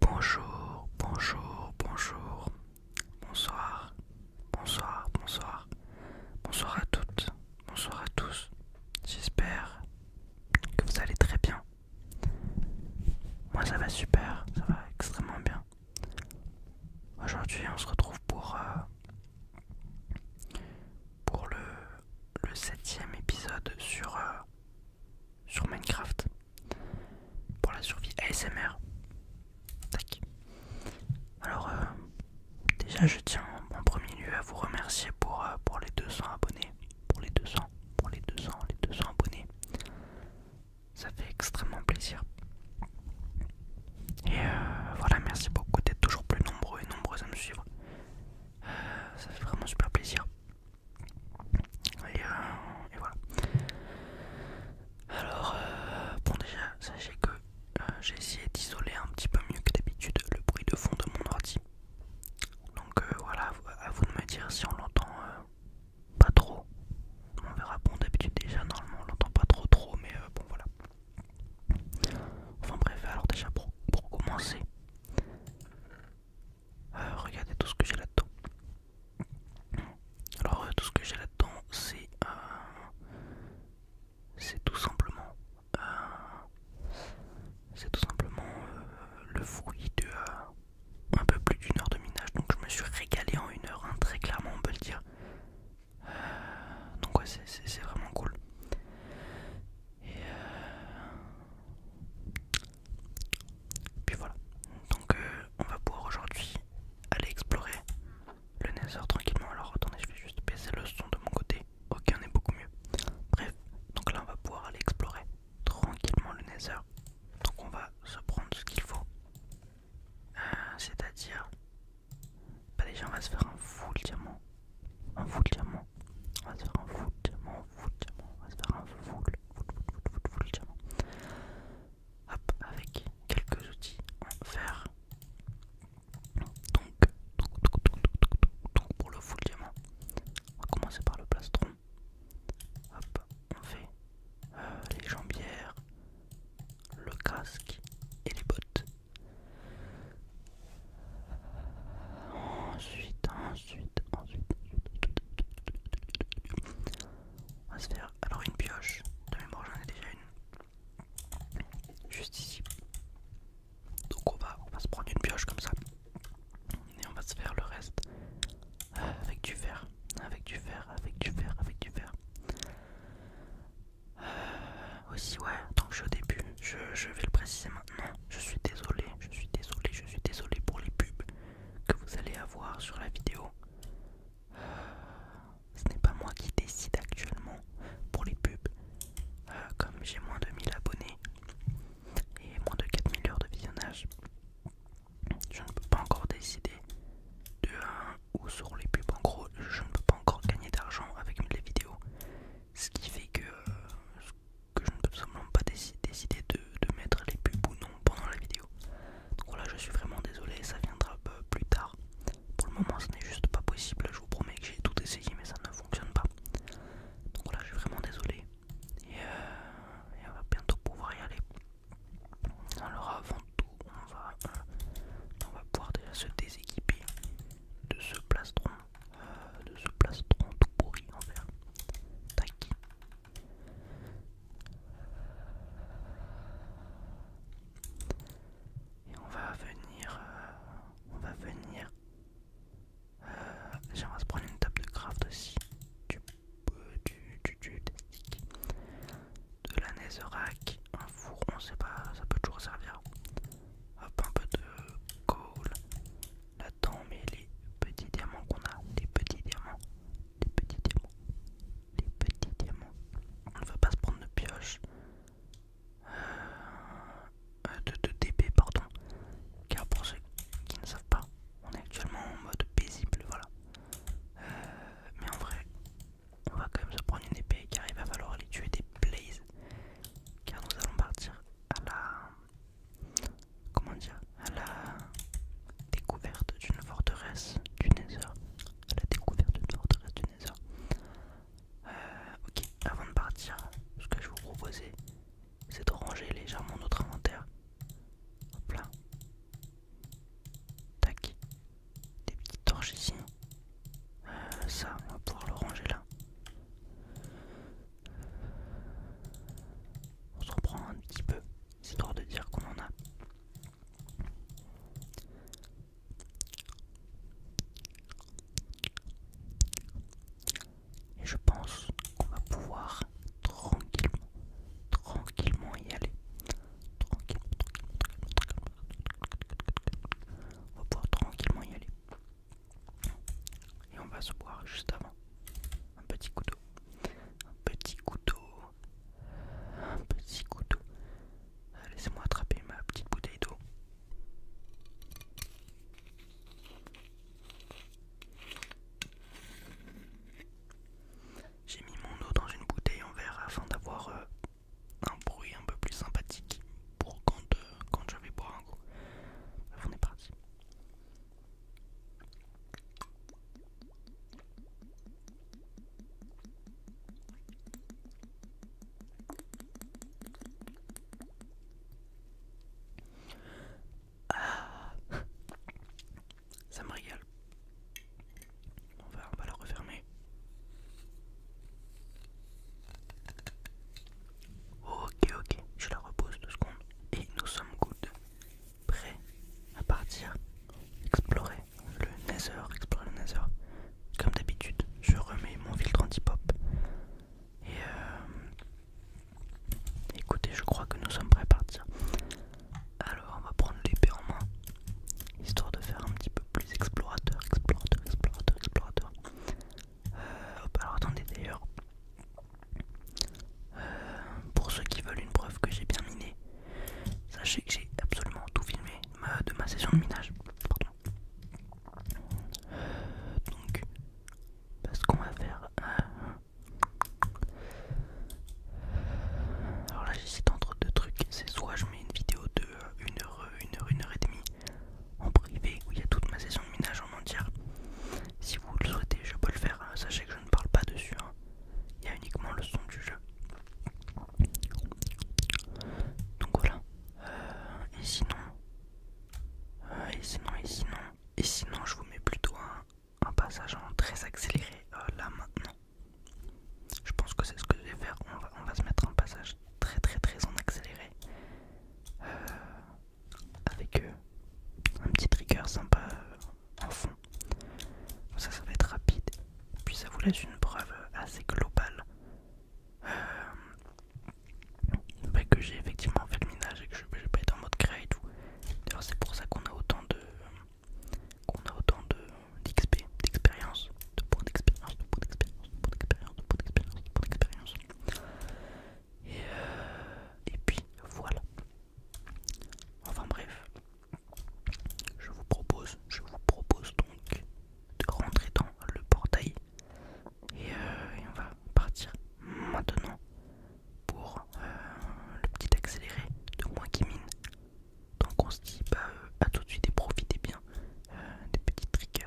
Bonjour, bonjour, bonjour. Bonsoir, bonsoir, bonsoir. Bonsoir à toutes, bonsoir à tous. J'espère que vous allez très bien. Moi ça va super, ça va extrêmement bien. Aujourd'hui on se retrouve pour, euh, pour le, septième épisode sur euh, sur Minecraft pour la survie ASMR. Tac. Alors, euh, déjà, je tiens en premier lieu à vous remercier pour, euh, les 200 abonnés. Pour les 200, pour les 200, les 200 abonnés. Ça fait extrêmement plaisir. Et euh, voilà, merci beaucoup d'être toujours plus nombreux et nombreuses à me suivre. ça fait vraiment super plaisir. Euh, voilà. Alors, euh, bon, déjà, sachez que euh, j'ai essayé d'isoler un petit peu mieux que d'habitude le bruit de fond de mon ordi. Donc voilà, à vous de me dire si on l'entend pas trop. On verra, bon d'habitude déjà, normalement on l'entend pas trop trop, mais bon voilà. Enfin bref, alors déjà pour commencer, euh, regardez tout ce que j'ai là-dedans. Alors euh, tout ce que j'ai là-dedans, c'est euh, c'est tout simplement c'est tout simplement le fruit de un peu plus d'une heure de minage. Donc je me suis régalé en une heure, hein, très clairement on peut le dire. donc ouais, c'est vraiment cool. Et puis voilà. Donc euh, on va pouvoir aujourd'hui aller explorer le Nether tranquillement. Alors attendez, je vais juste baisser le son de mon côté. aucun n'est beaucoup mieux. Bref, donc là on va pouvoir aller explorer tranquillement le Nether. Donc on va se prendre ce qu'il faut. Euh, c'est-à-dire... Bah déjà on va se faire un de diamant. Un de diamant. On va se faire un full diamant, diamant, on va se faire un full, diamant. Hop, avec quelques outils en fer. Donc, donc, donc, donc, pour le full diamant, on va commencer par le plastron. Hop, on fait euh, les jambières, le casque et les bottes. Ensuite, ensuite, Ensuite, ensuite, on va se faire alors une pioche. De mémoire, j'en ai déjà une. Juste ici. Donc on va, on va se prendre une pioche comme ça. Et on va se faire le reste euh, avec du fer. Avec du fer, avec du fer, avec du fer. Euh, aussi, ouais, tant je suis au début, je vais le préciser maintenant. Je suis désolé, je suis désolé, je suis désolé pour les pubs que vous allez avoir sur la vidéo. ce n'est pas moi qui décide actuellement pour les pubs. Euh, comme j'ai moins de 1000 abonnés et moins de 4000 heures de visionnage, je ne peux pas encore décider de un ou sur les pubs. En gros, je ne peux pas encore gagner d'argent avec les vidéos. Ce qui fait que euh, que je ne peux simplement pas décider de, mettre les pubs ou non pendant la vidéo. Donc voilà, je suis vraiment désolé, ça viendra un peu plus tard. Pour le moment, ce n'est juste pas possible. Je vous promets que j'ai tout essayé, mais ça ne fonctionne pas. Donc voilà, je suis vraiment désolé. Et, euh, on va bientôt pouvoir y aller. Alors avant tout, on va, euh, pouvoir déjà se déséquiper de ce plastron, euh, de ce plastron tout pourri en verre. Tac, et on va venir, euh, on va venir. on euh, J'aimerais se prendre une table de craft aussi, du, du, du, de la netherac, un four, on sait pas, ça peut toujours servir. Hop, un peu de coal, Là-dedans, les petits diamants qu'on a. Les petits diamants. Les petits diamants. Les petits diamants. On ne veut pas se prendre de pioche. Euh, de, DP, pardon. Car pour ceux qui ne savent pas, on est actuellement en mode paisible, voilà. Euh, mais en vrai, on va quand même se prendre une épée qui arrive à falloir les tuer des blazes. Car nous allons partir à la comment dire à la découverte d'une forteresse du Nether. À la découverte d'une forteresse du Nether. Euh, ok, avant de partir, ce que je vous proposais, c'est de ranger légèrement notre inventaire. Hop là. Tac. Des petites torches ici. Euh, ça, on va pouvoir le ranger là. On se reprend un petit peu, histoire de dire qu'on en a. Et je pense qu'on va pouvoir tranquillement, tranquillement y aller. Tranquillement, tranquillement, tranquillement, tranquillement. On va pouvoir tranquillement y aller. Et on va se boire juste avant. Un petit couteau. Un petit couteau. Un petit couteau. Laissez-moi attraper ma petite bouteille d'eau. J'ai mis mon eau dans une bouteille en verre afin d'avoir euh, un bruit un peu plus sympathique pour quand, euh, quand je vais boire un coup. On est parti. Ah. Ça me régale. On va, on va la refermer. Ok, ok, je la repose deux secondes et nous sommes good. Prêts à partir explorer le Nether, explorer le Nether. Comme d'habitude, je remets mon filtre anti-pop. Et euh, écoutez, je crois que nous sommes prêts à partir. Alors, on va prendre l'épée en main, histoire de faire un petit peu plus explorateur, explorateur, explorateur, explorateur. Euh, alors attendez d'ailleurs. Euh, pour ceux qui veulent une preuve que j'ai bien miné, sachez que j'ai absolument tout filmé de ma, session de minage. donc, parce qu'on va faire. Euh, alors là, j'hésite entre deux trucs. C'est soit je mets une vidéo de 1 heure, 1 heure, 1 heure et demie en privé où il y a toute ma session de minage en entière. Si vous le souhaitez, je peux le faire. Hein. Sachez que je ne parle pas dessus. Hein. Il y a uniquement le son du jeu. Donc voilà. Euh, et sinon, euh, et sinon, et sinon, et sinon, je vous mets plutôt un, passage en très accéléré euh, là maintenant. Je pense que c'est ce que je vais faire. On va, se mettre un passage très très très en accéléré avec euh, un petit trigger sympa euh, en fond. Ça, ça va être rapide. Puis ça vous laisse une preuve euh, assez globale euh, bah, que j'ai effectivement fait le minage et que je vais pas être en mode créa et tout. c'est pour ça qu'on a autant de qu'on a autant d'XP, de, d'expérience, de points d'expérience, de points d'expérience, de points d'expérience, de points d'expérience, de points d'expérience. Euh, et, puis voilà. Enfin bref, je vous propose, je vous propose donc de rentrer dans le portail et, euh, on va partir maintenant pour euh, le petit accéléré de moi qui mine. Donc on se dit bah, à tout de suite et profitez bien des petits tricks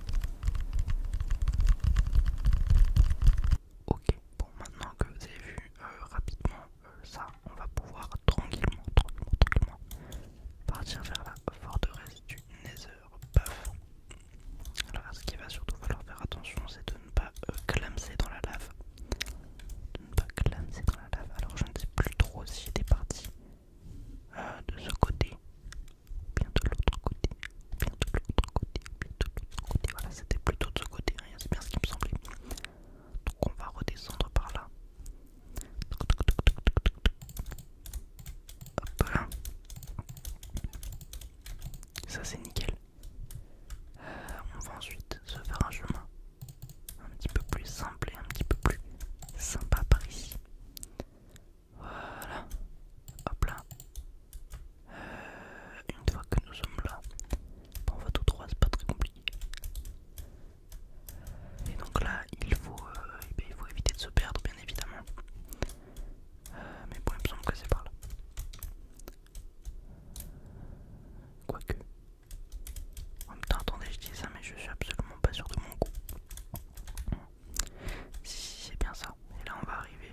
Ok, bon maintenant que vous avez vu euh, rapidement euh, ça, on va pouvoir tranquillement, tranquillement, tranquillement partir vers la forteresse du Nether Alors ce qu'il va surtout falloir faire attention c'est de ne pas euh, clamser dans la lave. De ne pas clamser dans la lave. Alors je ne sais plus trop si des parties de ce côté bien de l'autre côté, bien de l'autre côté, bien de l'autre côté. Voilà, c'était plutôt de ce côté, c'est bien ce qui me semblait. Donc on va redescendre par là. Hop là. Ça c'est nickel. Euh, on va ensuite se faire un chemin un petit peu plus simple et un petit peu plus sympa par ici. Voilà. Hop là. Euh, une fois que nous sommes là, on va tout droit, c'est pas très compliqué. Et donc là, il faut, euh, eh ben, il faut éviter de se perdre, bien évidemment. Euh, mais bon, il me semble que c'est par là. Quoique. En même temps, attendez, je dis ça, mais je suis absolument pas sûr de mon goût, Si, si c'est bien ça. Et là, on va arriver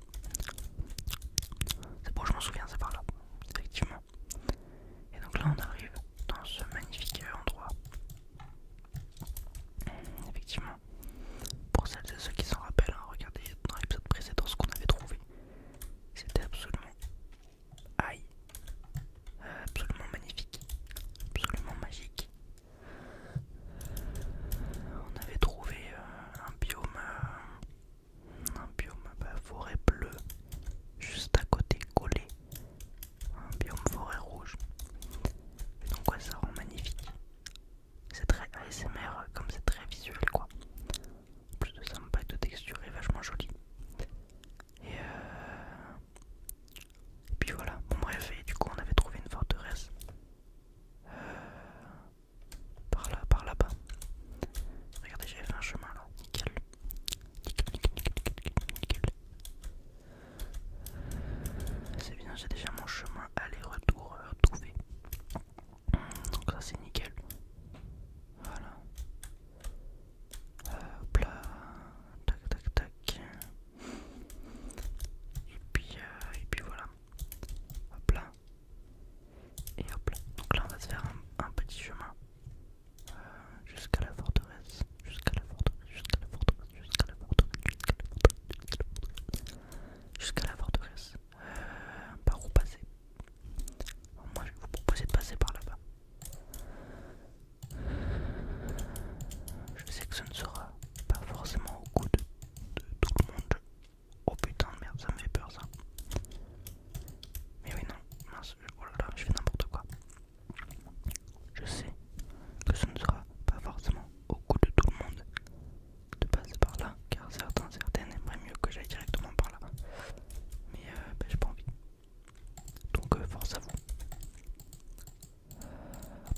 C'est bon, je m'en souviens, c'est par là, effectivement. Et donc là, on arrive dans ce magnifique endroit. Effectivement, pour celles et ceux qui s'en rappellent, hein, regardez dans l'épisode précédent ce qu'on avait trouvé. C'était absolument aïe, euh, absolument magnifique, absolument magique. On avait trouvé euh, euh, un biome, euh, un biome bah, forêt bleue, juste à côté collé, un biome forêt rouge. Et donc ça rend magnifique. C'est très ASMR, euh, comme c'est très visuel quoi. En plus de ça, et de texture est vachement joli. Et, euh... Et puis voilà, bon bref, et du coup on avait trouvé une forteresse par là, par là-bas. Regardez, j'ai fait un chemin là, nickel. C'est bien, j'ai déjà mon chemin aller-retour euh, trouvé. Donc ça c'est nickel. Voilà. Euh, hop là. Tac tac tac. Et puis, euh, et puis voilà. Hop là. Et hop là. Donc là on va se faire un, petit chemin euh, jusqu'à la forteresse. Jusqu'à la forteresse, jusqu'à la forteresse, jusqu'à la forteresse, jusqu'à la forteresse. Jusqu'à la forteresse. Euh, par où passer Moi je vais vous proposer de passer par là-bas. Je sais que ce ne sera pas forcément au goût de tout le monde. Oh putain de merde, ça me fait peur ça. Mais oui, non, mince, oh là là, je fais n'importe quoi. Je sais que ce ne sera pas forcément au goût de tout le monde de passer par là, car certains, certaines aimeraient mieux que j'aille directement par là. Mais euh, bah, je pas envie. Donc, euh, force à Hop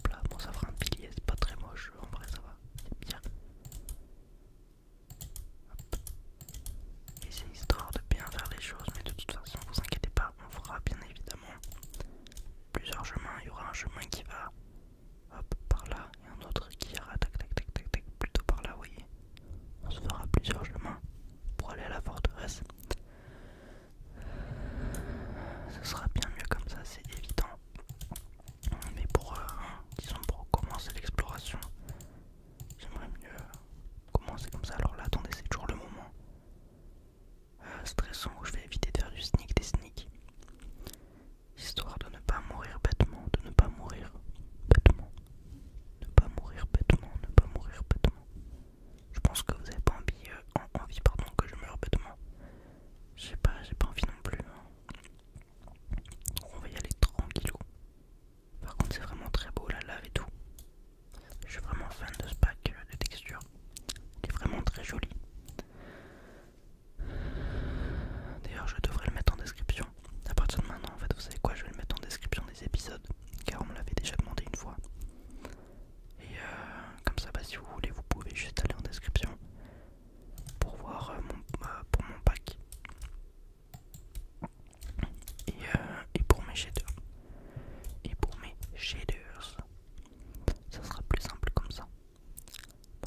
là, bon, ça fera un pilier, c'est pas très moche, en vrai, ça va, c'est bien. Et c'est histoire de bien faire les choses, mais de toute façon, vous inquiétez pas, on fera bien évidemment plusieurs chemins. Il y aura un chemin qui va par là et un autre qui ira plutôt par là, vous voyez. On se fera plusieurs chemins pour aller à la forteresse. Ce sera bien mieux comme ça, c'est évident. Mais pour, euh, disons pour commencer l'exploration, j'aimerais mieux commencer comme ça. Alors là, attendez, c'est toujours le moment euh, stressant où je vais éviter de faire du sneak des sneak histoire de ne pas mourir bêtement, de ne pas mourir bêtement, ne pas mourir bêtement, ne pas mourir bêtement. Je pense que vous n'avez pas envie, euh, envie pardon, que je meure bêtement. Je sais pas, j'ai pas envie non plus. Hein. On va y aller tranquillou. Par contre, c'est vraiment très beau la lave et tout. Je suis vraiment fan de ce pack euh, de texture. Il est vraiment très joli. D'ailleurs, je devrais le mettre en description. À partir de maintenant, en fait, vous savez quoi Je vais le mettre en description des épisodes car on me l'avait déjà demandé une fois. Et euh, comme ça, bah, si vous voulez, vous pouvez juste aller en description pour voir euh, mon, euh, pour mon pack et, euh, et pour mes shaders et pour mes shaders ça sera plus simple comme ça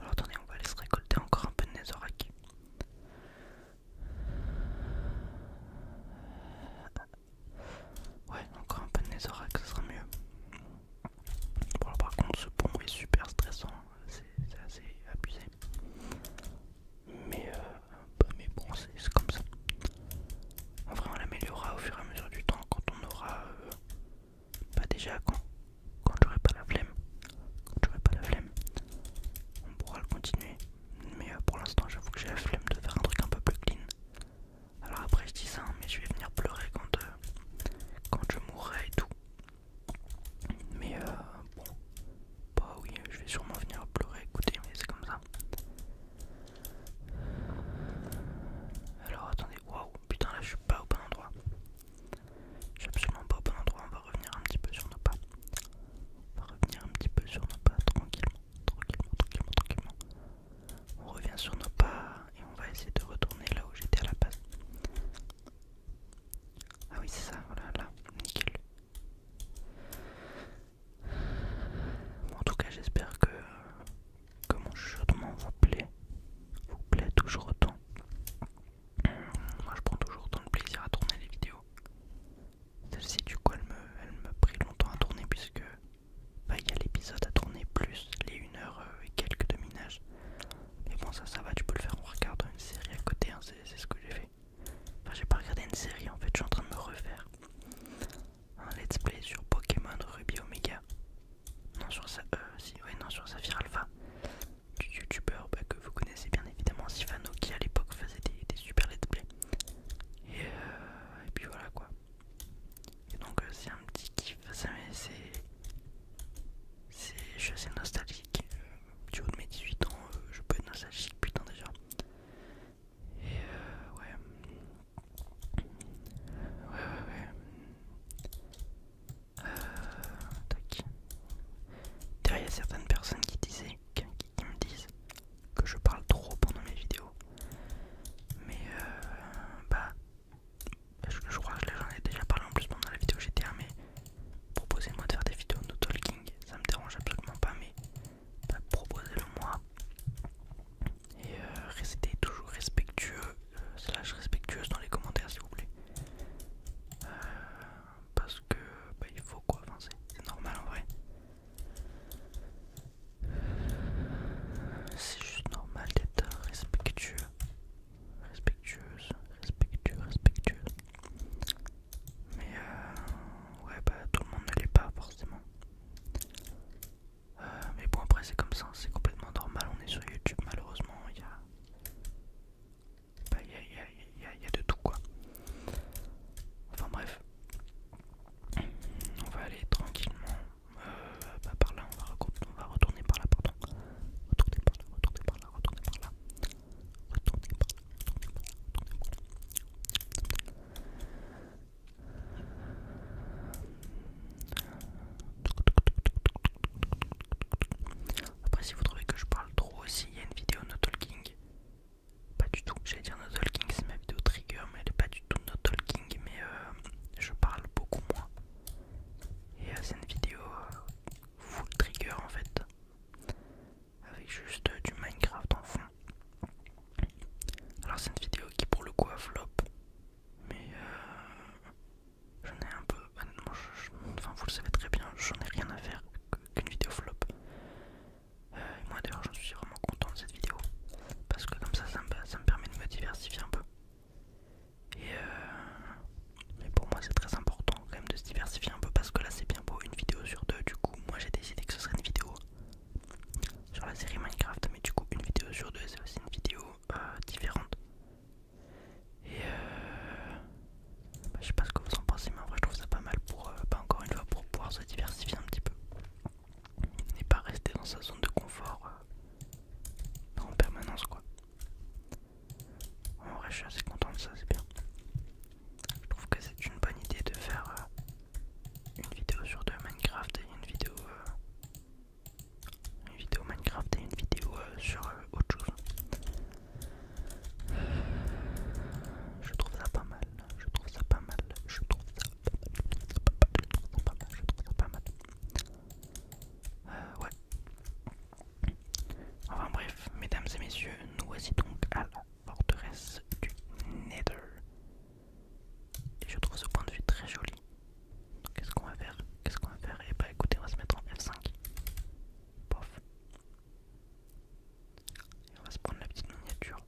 alors attendez on va aller se récolter encore un peu de netherrack ouais encore un peu de netherrack ça sera mieux par contre, ce pont est super stressant, c'est assez abusé. Mais, euh, bon, c'est comme ça. En vrai, on l'améliorera au fur et à mesure du temps quand on aura. pas euh, bah, déjà, quand, quand j'aurai pas la flemme. Quand j'aurai pas la flemme, on pourra le continuer. Mais euh, pour l'instant, j'avoue que j'ai la flemme de faire un truc un peu plus clean. Alors après je dis ça, hein, mais je vais venir pleurer quand, quand je mourrai et tout. Mais euh, bon, bah oui, je vais sûrement venir pleurer, écoutez, mais c'est comme ça. Alors attendez, waouh, putain là je suis pas au bon endroit. Je suis absolument pas au bon endroit, on va revenir un petit peu sur nos pas. On va revenir un petit peu sur nos pas, tranquillement, tranquillement, tranquillement, tranquillement. On revient sur nos pas et on va essayer de retourner là où j'étais à la base. Ah oui, c'est ça, voilà, là, nickel. en tout cas, j'espère que, que mon vous plaît, vous plaît toujours autant. Euh, moi, je prends toujours autant de plaisir à tourner les vidéos. Celle-ci, du coup, elle me, prit longtemps à tourner puisque bah, il y a l'épisode à tourner plus les 1 heure euh, et quelques de minage. Mais bon, ça, ça va, tu peux le faire en regardant une série à côté, hein, c'est ce que j'ai fait. Enfin, j'ai pas regardé une série en fait, je suis en train de me refaire un let's play sur Pokémon Ruby Omega. Non, sur sa, euh, si, ouais, non, sur Saphir Alpha, du youtubeur bah, que vous connaissez bien évidemment, Sifano, qui à l'époque faisait des, super let's play. Et, euh, et puis voilà quoi. Et donc, euh, c'est un petit kiff, c'est je suis nostalgique. Euh, du haut de mes 18 ans, euh, je peux être nostalgique, putain déjà. Et euh, ouais. Ouais, ouais, ouais. Euh, tac. D'ailleurs, il y a certaines personnes qui disaient, qui me disent que je parle trop pendant mes vidéos. Mais euh, bah, je, crois que j'en ai déjà parlé en plus pendant la vidéo GTA, mais proposez-moi de faire des vidéos no talking, ça me dérange absolument pas, mais proposez-le-moi. Et euh, restez toujours respectueux, euh, slash respectueuse dans les commentaires s'il vous plaît. Euh, parce que bah, il faut quoi, avancer c'est normal en vrai. C'est juste normal d'être respectueux respectueuse, respectueux, respectueuse. Mais euh, ouais, bah tout le monde ne l'est pas forcément. Euh, mais bon, après, c'est comme ça, c'est complètement normal. On est sur YouTube, malheureusement, il y a. Bah, il y a, y, y, a, y a de tout quoi. Enfin, bref, on va aller tranquillement euh, bah, par là, on va, retourner par là, pardon. Retourner par là, retourner par là, retourner par là. Retourner par là, retourner par là, par là. Après, si vous trouvez que je parle trop aussi, il y a une vidéo No Talking. Pas du tout, j'allais dire No Talking, c'est ma vidéo Trigger, mais elle est pas du tout No Talking, mais euh, je parle beaucoup moins. Et euh, c'est une vidéo euh, full trigger en fait, avec juste euh, du Minecraft en fond. Alors c'est une vidéo qui pour le coup a flop, mais j'en ai un peu, honnêtement, enfin vous le savez très bien, j'en ai rien à faire qu'une vidéo flop. et moi d'ailleurs je suis vraiment content de cette vidéo, parce que comme ça ça me permet de me diversifier un peu. Et euh, mais pour moi c'est très important quand même de se diversifier un peu parce que là c'est bien beau une vidéo sur deux du coup moi j'ai décidé que ce serait une vidéo sur la série Minecraft mais du coup une vidéo sur deux c'est aussi une vidéo euh, différente et euh, bah, je sais pas ce que vous en pensez mais en vrai je trouve ça pas mal pour bah, encore une fois pour pouvoir se diversifier un petit peu et pas rester dans sa zone de confort en permanence quoi en vrai, je suis assez content de ça, c'est bien. Je trouve que c'est une bonne idée de faire euh, une vidéo sur de Minecraft et une vidéo, euh, une vidéo Minecraft et une vidéo euh, sur autre chose. Je trouve ça pas mal. Je trouve ça pas mal. Je trouve ça pas mal. Je trouve ça pas mal. Je trouve ça pas mal. Euh, ouais. Enfin bref, mesdames et messieurs, nous voici donc à la forteresse du Nether. Et je trouve ce point de vue très joli. Qu'est-ce qu'on va faire Qu'est-ce qu'on va faire Et eh bah ben, écoutez, on va se mettre en F5. Pof. Et on va se prendre la petite miniature.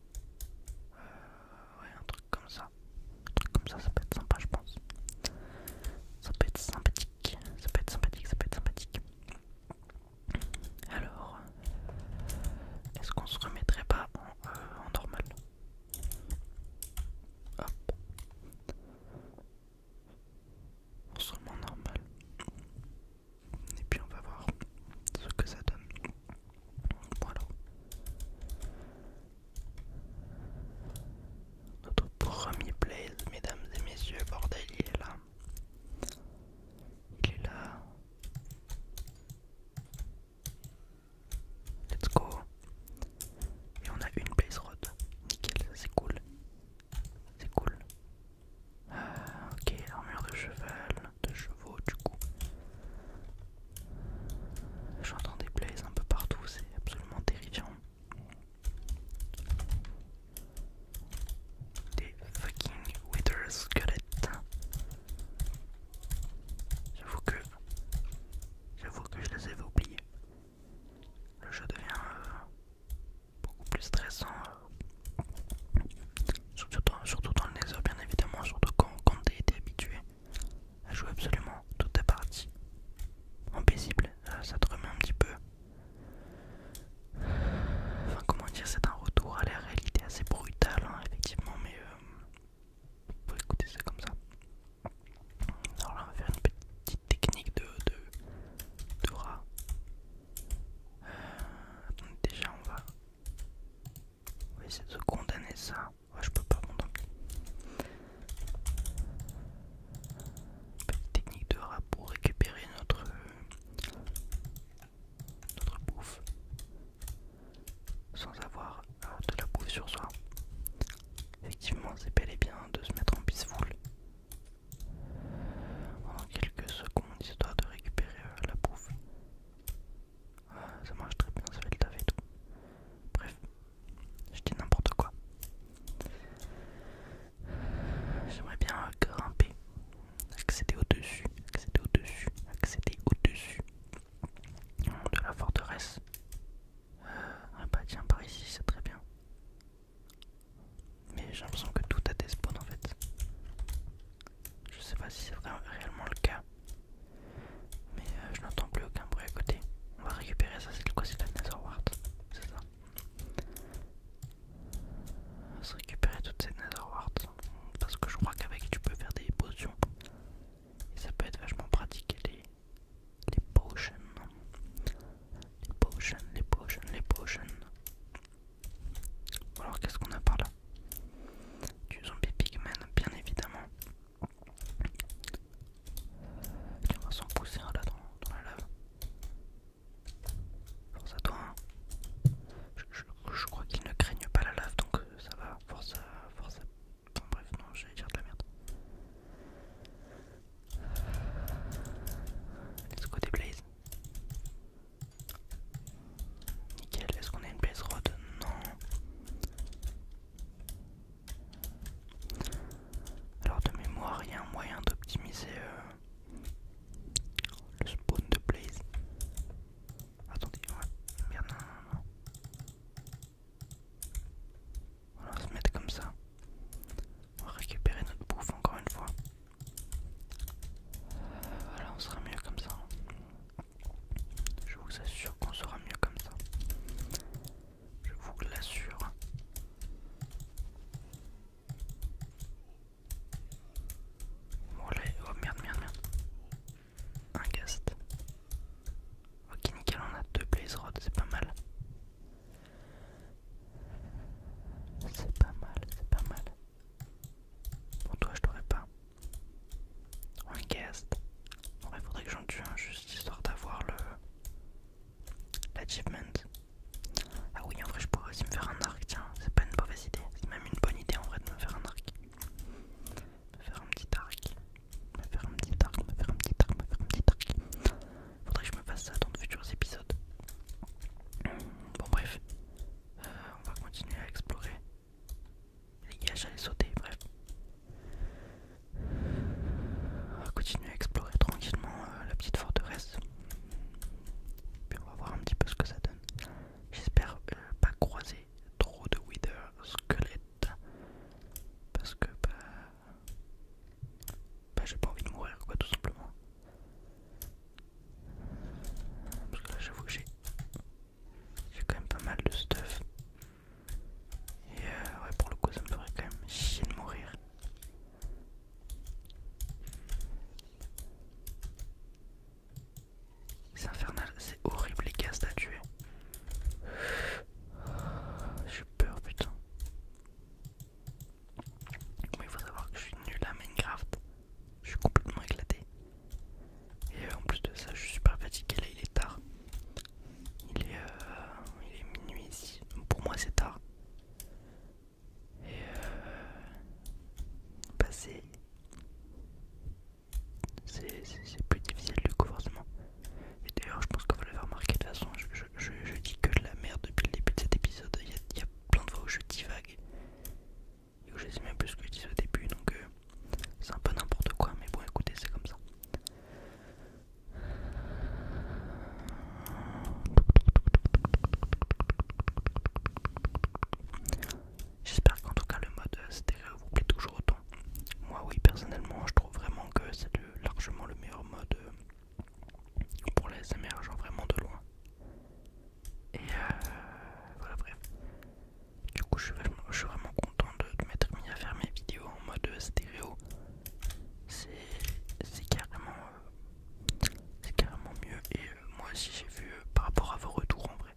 Euh, ouais, un truc comme ça. Un truc comme ça, ça peut être sympa, je pense. Ça peut être sympathique, ça peut être sympathique, ça peut être sympathique. Alors, est-ce qu'on se remettrait pas en, euh, normal Hop. On se en normal. Et puis on va voir ce que ça donne. Voilà. Notre premier place, mesdames et messieurs, bordel, il est là. Il est là. Let's go. Et on a une place rod. Nickel, c'est cool. C'est cool. Ah, ok, armure de cheval, de chevaux du coup. J'entends des blazes un peu partout, c'est absolument terrifiant. Des fucking wither squelettes. J'avoue que. J'avoue que je les avais oubliés. Le jeu devient euh, beaucoup plus stressant. Euh, surtout, dans, le nether, bien évidemment, surtout quand t'es habitué à jouer absolument toute ta partie en paisible, ça, te remet un petit peu. Enfin, comment dire, c'est un retour à la réalité assez brutal hein, effectivement, mais euh, écouter ça comme ça. Alors là, on va faire une petite technique de, de, rat. Euh, déjà, on va, on essayer de se condamner ça je peux pas Petite technique de rap pour récupérer notre, euh, bouffe sans avoir euh, de la bouffe sur soi. Effectivement, c'est bel et bien de se mettre en peaceful pendant quelques secondes histoire de récupérer euh, la bouffe. Ah, ça marche très bien, ça fait le taf et tout. Bref, je dis n'importe quoi. J'aimerais bien grimper, accéder au-dessus, accéder au-dessus, accéder au-dessus de la forteresse. Euh, ah bah tiens, par ici, c'est très bien. Mais j'ai l'impression que tout a des spawns en fait. Je sais pas si c'est vraiment réellement le cas. Mais euh, je n'entends plus aucun bruit à côté. On va récupérer ça, c'est quoi C'est la Netherwart, c'est ça On va se récupérer toutes ces warts, Parce que je crois qu'avec tu peux faire des potions. Et ça peut être vachement pratique les, les potions. Les potions, les potions, les potions. Alors qu'est-ce qu'on a par là Du zombie pigman bien évidemment on va s'en pousser un là dans, la lave. Force à toi. Hein. Je, crois qu'il ne craigne pas la lave donc euh, ça va. Force à. Force bref, non, j'allais dire de la merde. Let's go des blaze Nickel, est-ce qu'on a une blaze rod Non. Alors de mémoire, il y a un moyen d'optimiser euh, le spawn de Blaze. Attendez, ouais, non, on va se mettre comme ça. On va récupérer notre bouffe encore une fois. voilà, on sera mieux comme ça. Je vous assure qu'on sera mieux comme ça je vous l'assure. Oh merde, merde, merde. Un guest. Ok, nickel, on a deux blaze rods, c'est pas mal. C'est pas mal, c'est pas mal. Pour toi, je t'aurais pas. Un guest. En il faudrait que j'en tue un juste histoire d'avoir le. L'achievement. Ah oui, en vrai, je pourrais aussi me faire un arc. Tiens, c'est pas une mauvaise idée. C'est même une bonne idée en vrai de me faire un arc. Me faire un petit arc. Me faire un petit arc, me faire un petit arc, me faire un petit arc. Faudrait que je me fasse ça dans de futurs épisodes. Bon, bref. Euh, on va continuer à explorer. Les gars, j'allais sauter, bref. On va continuer à explorer tranquillement euh, la petite forteresse. Puis on va voir un petit peu ce que ça donne. J'espère euh, pas croiser trop de wither squelettes. Parce que bah, bah j'ai pas envie de mourir quoi tout simplement. Parce que là j'avoue que j'ai j'ai quand même pas mal de stuff. Et euh, ouais, pour le coup, ça me ferait quand même chier de mourir. C'est infernal, c'est horrible les cases à tuer. J'ai peur, putain. Mais il faut savoir que je suis nul à Minecraft. Je suis complètement éclaté. Et euh, en plus de ça, je suis super fatigué. Là, il est tard. Il est, euh, minuit ici. Pour moi, c'est tard. Et euh, bah c'est plus difficile du coup forcément. Et d'ailleurs, je pense va le faire remarqué de toute façon, je, dis que de la merde depuis le début de cet épisode. Il y, a, plein de fois où je divague et où je sais même plus ce que je dis au début. Donc euh, c'est un peu n'importe quoi, mais bon, écoutez, c'est comme ça. J'espère qu'en tout cas le mode stéréo vous plaît toujours autant. Moi oui personnellement je trouve vraiment que c'est largement le meilleur mode euh, pour les émergents vraiment de loin. Et euh, voilà bref. Du coup, je suis vraiment, content de, m'être mis à faire mes vidéos en mode euh, stéréo. C'est carrément, euh, c'est carrément mieux. Et euh, moi aussi, j'ai vu par rapport à vos retours en vrai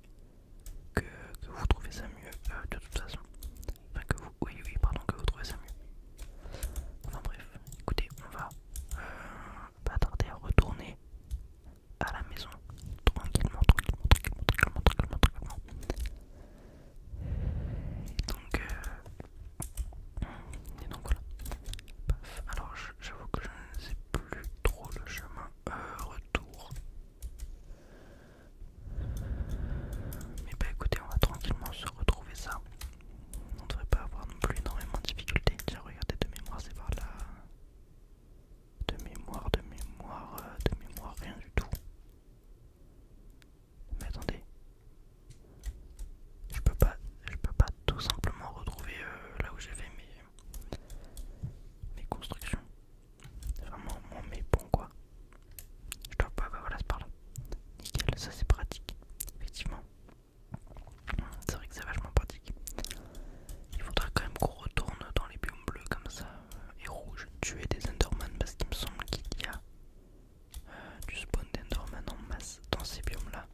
que, vous trouvez ça mieux de toute façon. Enfin, que vous, oui, oui, pardon, que vous trouvez ça mieux. Enfin, bref, écoutez, on va pas tarder à retourner à la maison tranquillement, tranquillement, tranquillement, tranquillement. tranquillement donc, euh, et donc voilà. Alors j'avoue que je ne sais plus trop le chemin euh, retour. Mais bah écoutez, on va tranquillement se retrouver ça. On devrait pas avoir non plus énormément de difficultés. Tiens, regardez de mémoire, c'est par là. De mémoire, de mémoire, euh, de mémoire, rien du tout. Mais attendez, je peux pas, je peux pas tout simplement retrouver euh, là où j'ai fait mes, constructions. Vraiment, mon mais quoi. Je dois pas, bah voilà, c'est par là. Nickel, ça c'est pratique, effectivement. C'est vrai que c'est vachement pratique. Il faudra quand même qu'on retourne dans les biomes bleus comme ça et rouge, tuer des Enderman parce qu'il me semble qu'il y a euh, du spawn d'Enderman en masse dans ces biomes là.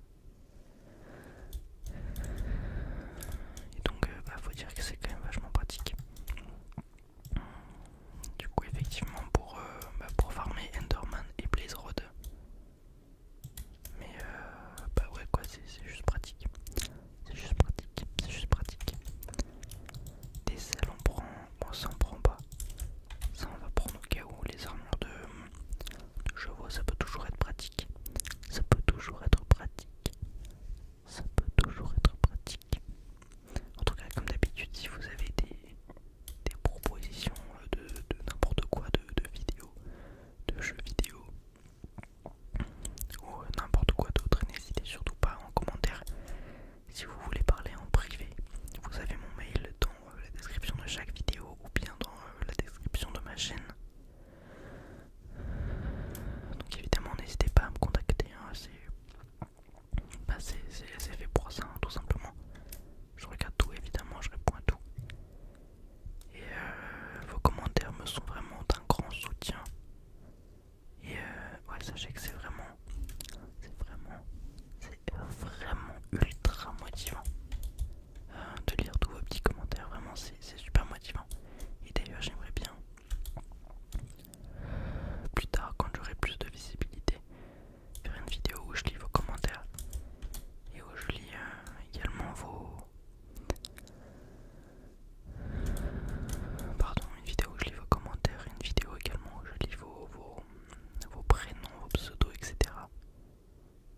Et donc, euh, bah, faut dire que c'est quand même vachement pratique. Du coup, effectivement, pour, euh, bah, pour farmer Enderman et Blaze rod, Mais bah ouais quoi, c'est juste pratique c'est juste pratique, c'est juste pratique. Des ailes on prend, bon ça prend pas, ça on va prendre au cas où les armures de, je chevaux ça peut toujours être pratique, ça peut toujours être pratique, ça peut toujours être pratique. En tout cas comme d'habitude si vous avez des, des propositions de, n'importe quoi de, de de jeux vidéo, ou euh, n'importe quoi d'autre. N'hésitez surtout pas en commentaire. Si vous voulez parler en privé, vous avez mon mail dans euh, la description de chaque vidéo ou bien dans euh, la description de ma chaîne. Donc évidemment, n'hésitez pas à me contacter. Hein, bah, c'est fait pour ça, hein, tout simplement. Je regarde tout, évidemment, je réponds à tout. Et vos commentaires me sont vraiment d'un grand soutien. Et euh, sachez que c'est vraiment, c'est vraiment, c'est euh, vraiment ultra motivant hein, de lire tous vos petits commentaires. Vraiment, c'est super motivant. Et d'ailleurs, j'aimerais bien plus tard, quand j'aurai plus de visibilité, faire une vidéo où je lis vos commentaires et où je lis euh, également vos Pardon, une vidéo où je lis vos commentaires, une vidéo également où je lis vos, vos, vos prénoms, vos pseudos, etc.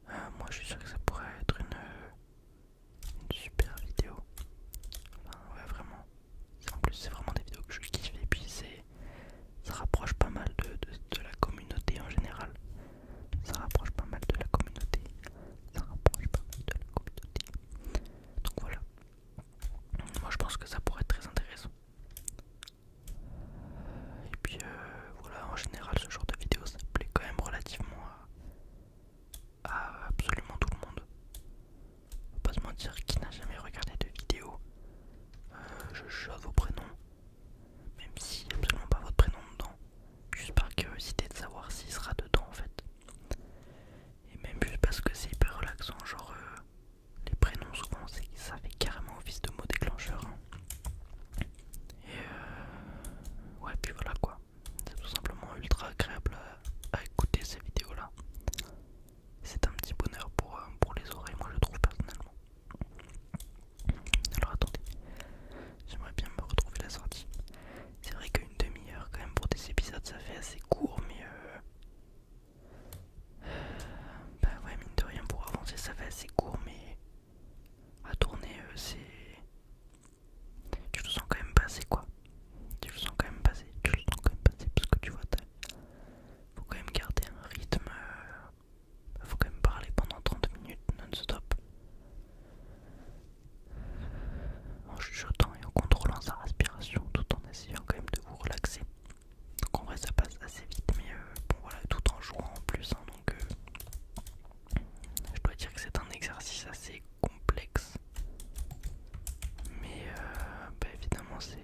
Euh, moi je suis sûr que ça pourrait être une, super vidéo. ouais, vraiment. En plus, c'est vraiment des vidéos que je kiffe et puis ça rapproche pas mal de, de la communauté en général. Ça rapproche pas mal de la communauté. Ça rapproche pas mal de la communauté. Donc voilà, moi je pense que ça pourrait être très intéressant. Et puis euh, voilà, en général ce genre de vidéo ça plaît quand même relativement à, absolument tout le monde. Faut pas se mentir, qui n'a jamais regardé de vidéo euh, Je joue vos prénoms, même si absolument pas votre prénom dedans, juste par curiosité de savoir s'il sera dedans en fait. Et même juste parce que c'est hyper relaxant, genre euh, les prénoms souvent ça fait carrément office de mot déclencheur. Hein. Et euh, ouais, puis voilà quoi. C'est tout simplement ultra agréable à, écouter ces vidéos là. C'est un petit bonheur pour, euh, pour les oreilles, moi je trouve personnellement. Alors attendez, j'aimerais bien me retrouver la sortie. C'est vrai qu'une demi-heure quand même pour des épisodes ça fait assez court mais euh, Bah ouais mine de rien pour avancer ça fait assez court mais à tourner euh, c'est... Tu te sens quand même passer quoi. Tu te sens quand même passé tu te sens quand même passé parce que tu vois Faut quand même garder un rythme... Euh, faut quand même parler pendant 30 minutes non-stop en chuchotant et en contrôlant sa respiration tout en essayant quand même de vous relaxer. Donc en vrai ça passe assez vite mais euh, bon voilà tout en jouant en plus hein, donc euh, je dois dire que c'est un exercice assez complexe mais euh, bah, évidemment c'est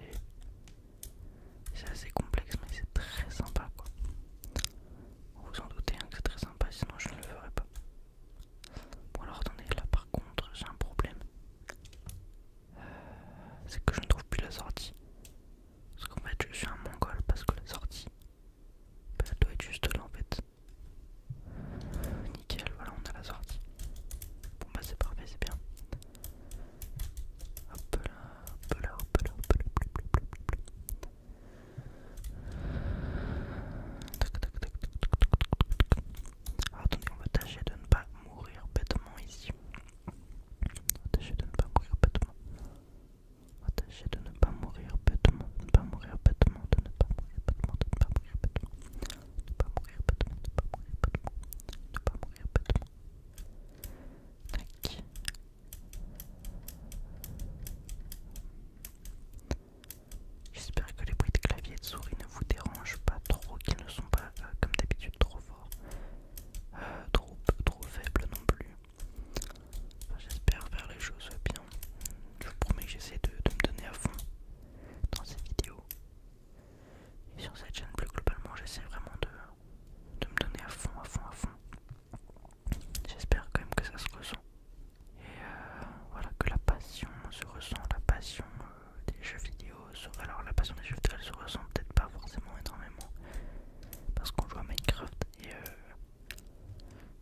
assez complexe mais c'est très sympa Vous vous en doutez hein, que c'est très sympa sinon je ne le ferai pas. Bon alors attendez, là par contre j'ai un problème. Euh, c'est que je ne trouve plus la sortie. Parce qu'en fait je suis un mongol parce que la sortie, bah, elle doit être juste là en fait. Nickel, voilà on a la sortie. Bon bah c'est parfait, c'est bien. Hop là, hop là, hop là, hop là, hop là, hop là attendez, on va tâcher de ne pas mourir bêtement ici. On va tâcher de ne pas mourir bêtement. On va tâcher de ne pas mourir bêtement, de ne pas mourir bêtement, de ne pas mourir bêtement, de ne pas mourir bêtement, de ne pas mourir bêtement, ne pas mourir bêtement, ne pas mourir bêtement. Tac. J'espère que les bruits de clavier et de souris ne vous dérangent pas trop, qu'ils ne sont pas euh, comme d'habitude trop forts, euh, trop, faibles non plus. J'espère faire les choses bien. Je vous promets que j'essaie de, me donner à fond dans ces vidéos. Et sur cette chaîne, plus globalement, j'essaie vraiment de me donner à fond, à fond, à fond. J'espère quand même que ça se ressent. Et euh, voilà, que la passion se ressent, la passion euh, des jeux vidéo. Alors, la passion des jeux vidéo, se ressent peut-être pas forcément énormément parce qu'on joue à Minecraft. Et euh,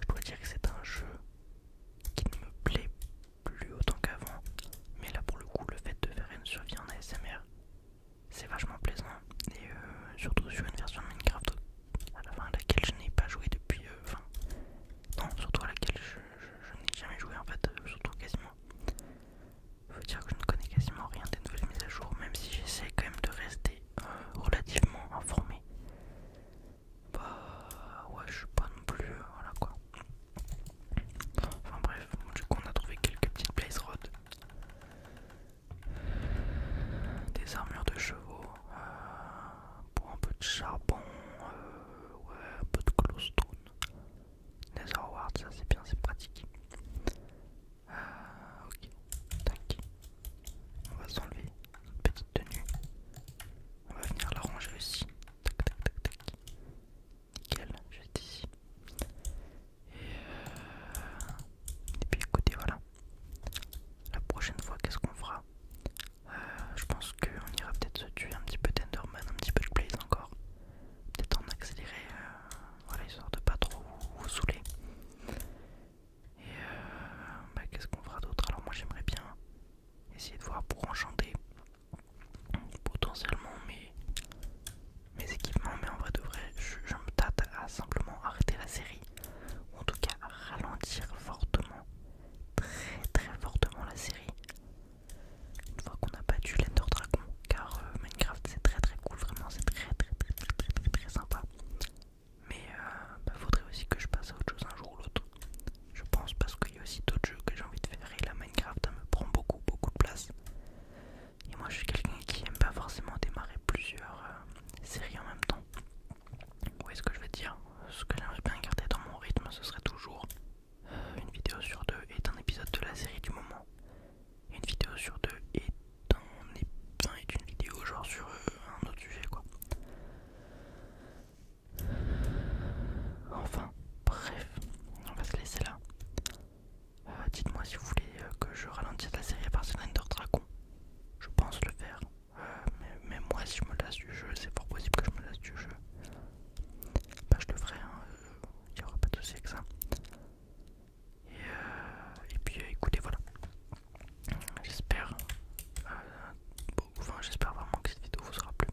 je pourrais dire que c'est un jeu qui ne me plaît plus autant qu'avant. Mais là, pour le coup, le fait de faire une survie en ASMR, c'est vachement plaisant. Et surtout sur une version de Minecraft à la fin à laquelle je n'ai pas joué depuis. non, surtout à laquelle je je n'ai jamais joué en fait, euh, surtout quasiment. Faut dire que je ne connais quasiment rien des nouvelles mises à jour, même si j'essaie quand même de rester euh, relativement informé. Bah ouais, je suis pas non plus, euh, voilà quoi. Enfin bref, du coup on a trouvé quelques petites place rods. Des armures de chevaux, pour un peu de charbon, euh, un peu de glowstone, Nether Ward, ça c'est bien, c'est pratique. Euh, ok, tac. On va s'enlever une petite tenue. On va venir la ranger aussi. Tac, tac, tac, tac. Nickel, juste ici. Et, euh, et puis écoutez, voilà. La prochaine fois, qu'est-ce qu'on fera euh, je pense qu'on ira peut-être se tuer un petit peu d'Enderman, un petit peu de Blaze encore. Peut-être en accélérer, euh, voilà, histoire de pas trop vous saouler. Et euh, bah, qu'est-ce qu'on fera d'autre Alors, moi j'aimerais bien essayer de voir pour enchanter potentiellement mes, équipements, mais en vrai de je, je me tâte à simplement arrêter la série, ou en tout cas à ralentir fortement très très fortement la série. Une fois qu'on a battu l'Ender Dragon, car euh, Minecraft c'est très très cool, vraiment c'est très très très très très sympa. Mais il euh, bah, faudrait aussi que je passe à autre chose un jour ou l'autre. Je pense parce qu'il y a aussi d'autres jeux que j'ai envie de faire et la Minecraft me prend beaucoup beaucoup de place. Et moi je suis quelqu'un qui aime pas forcément démarrer plusieurs euh, séries en même temps est ce que je veux dire Ce que j'aimerais bien garder dans mon rythme, ce serait toujours euh, une vidéo sur deux est un épisode de la série du moment. Une vidéo sur deux est, un une vidéo genre sur euh, un autre sujet quoi. Enfin, bref, on va se laisser là. Euh, dites-moi si vous voulez que je ralentisse la série à partir d'Ender Dragon. Je pense le faire mais, moi, si je me lasse du jeu, c'est pas possible que je me lasse du jeu. Bah, je le ferai, il hein, n'y euh, aura pas de souci avec ça. Et, euh, et puis euh, écoutez, voilà. J'espère j'espère vraiment que cette vidéo vous aura plu.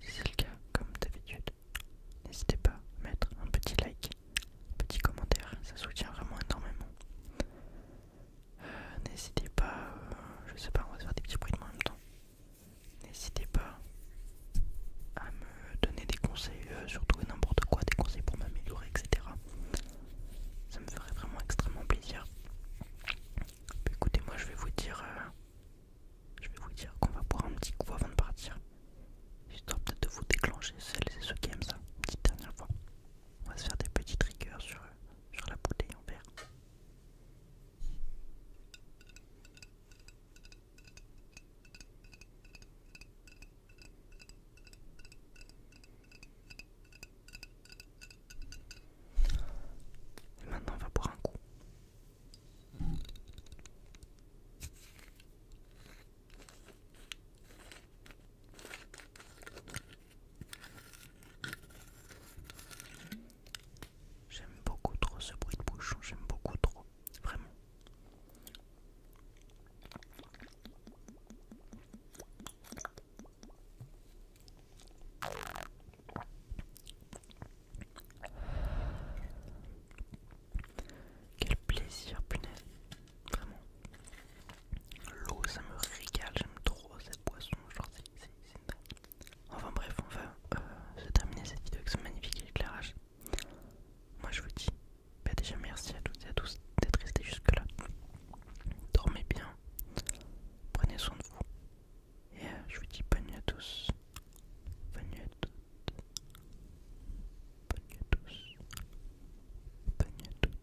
Si c'est le cas, comme d'habitude, n'hésitez pas à mettre un petit like, un petit commentaire, ça soutient vraiment énormément. Euh, n'hésitez pas, euh, je sais pas, on va se faire des petits bruits en même temps. N'hésitez pas à me donner des conseils, euh, surtout surtout n'importe quoi, des conseils pour m'améliorer, etc. Ça me ferait vraiment extrêmement plaisir. Bah, écoutez, moi je vais vous dire, je vais vous dire qu'on va boire un petit coup avant de partir, histoire peut-être de vous déclencher c'est et ceux qui aiment ça. petite dernière fois, on va se faire des petits triggers sur eux sur la bouteille en verre. maintenant on va boire un coup. J'aime beaucoup trop ce bruit de bouchon, j'aime beaucoup trop, vraiment. Quel plaisir, punaise, vraiment. L'eau, ça me régale, j'aime trop cette boisson, genre c'est Enfin bref, on va euh, se terminer cette vidéo avec ce magnifique éclairage. Moi je vous dis, bah, déjà merci à toutes et à tous d'être restés jusque là. Dormez bien, prenez soin de vous. Et euh, je vous dis bonne nuit à tous. Bonne nuit à toutes. Bonne nuit à tous. Bonne nuit à toutes.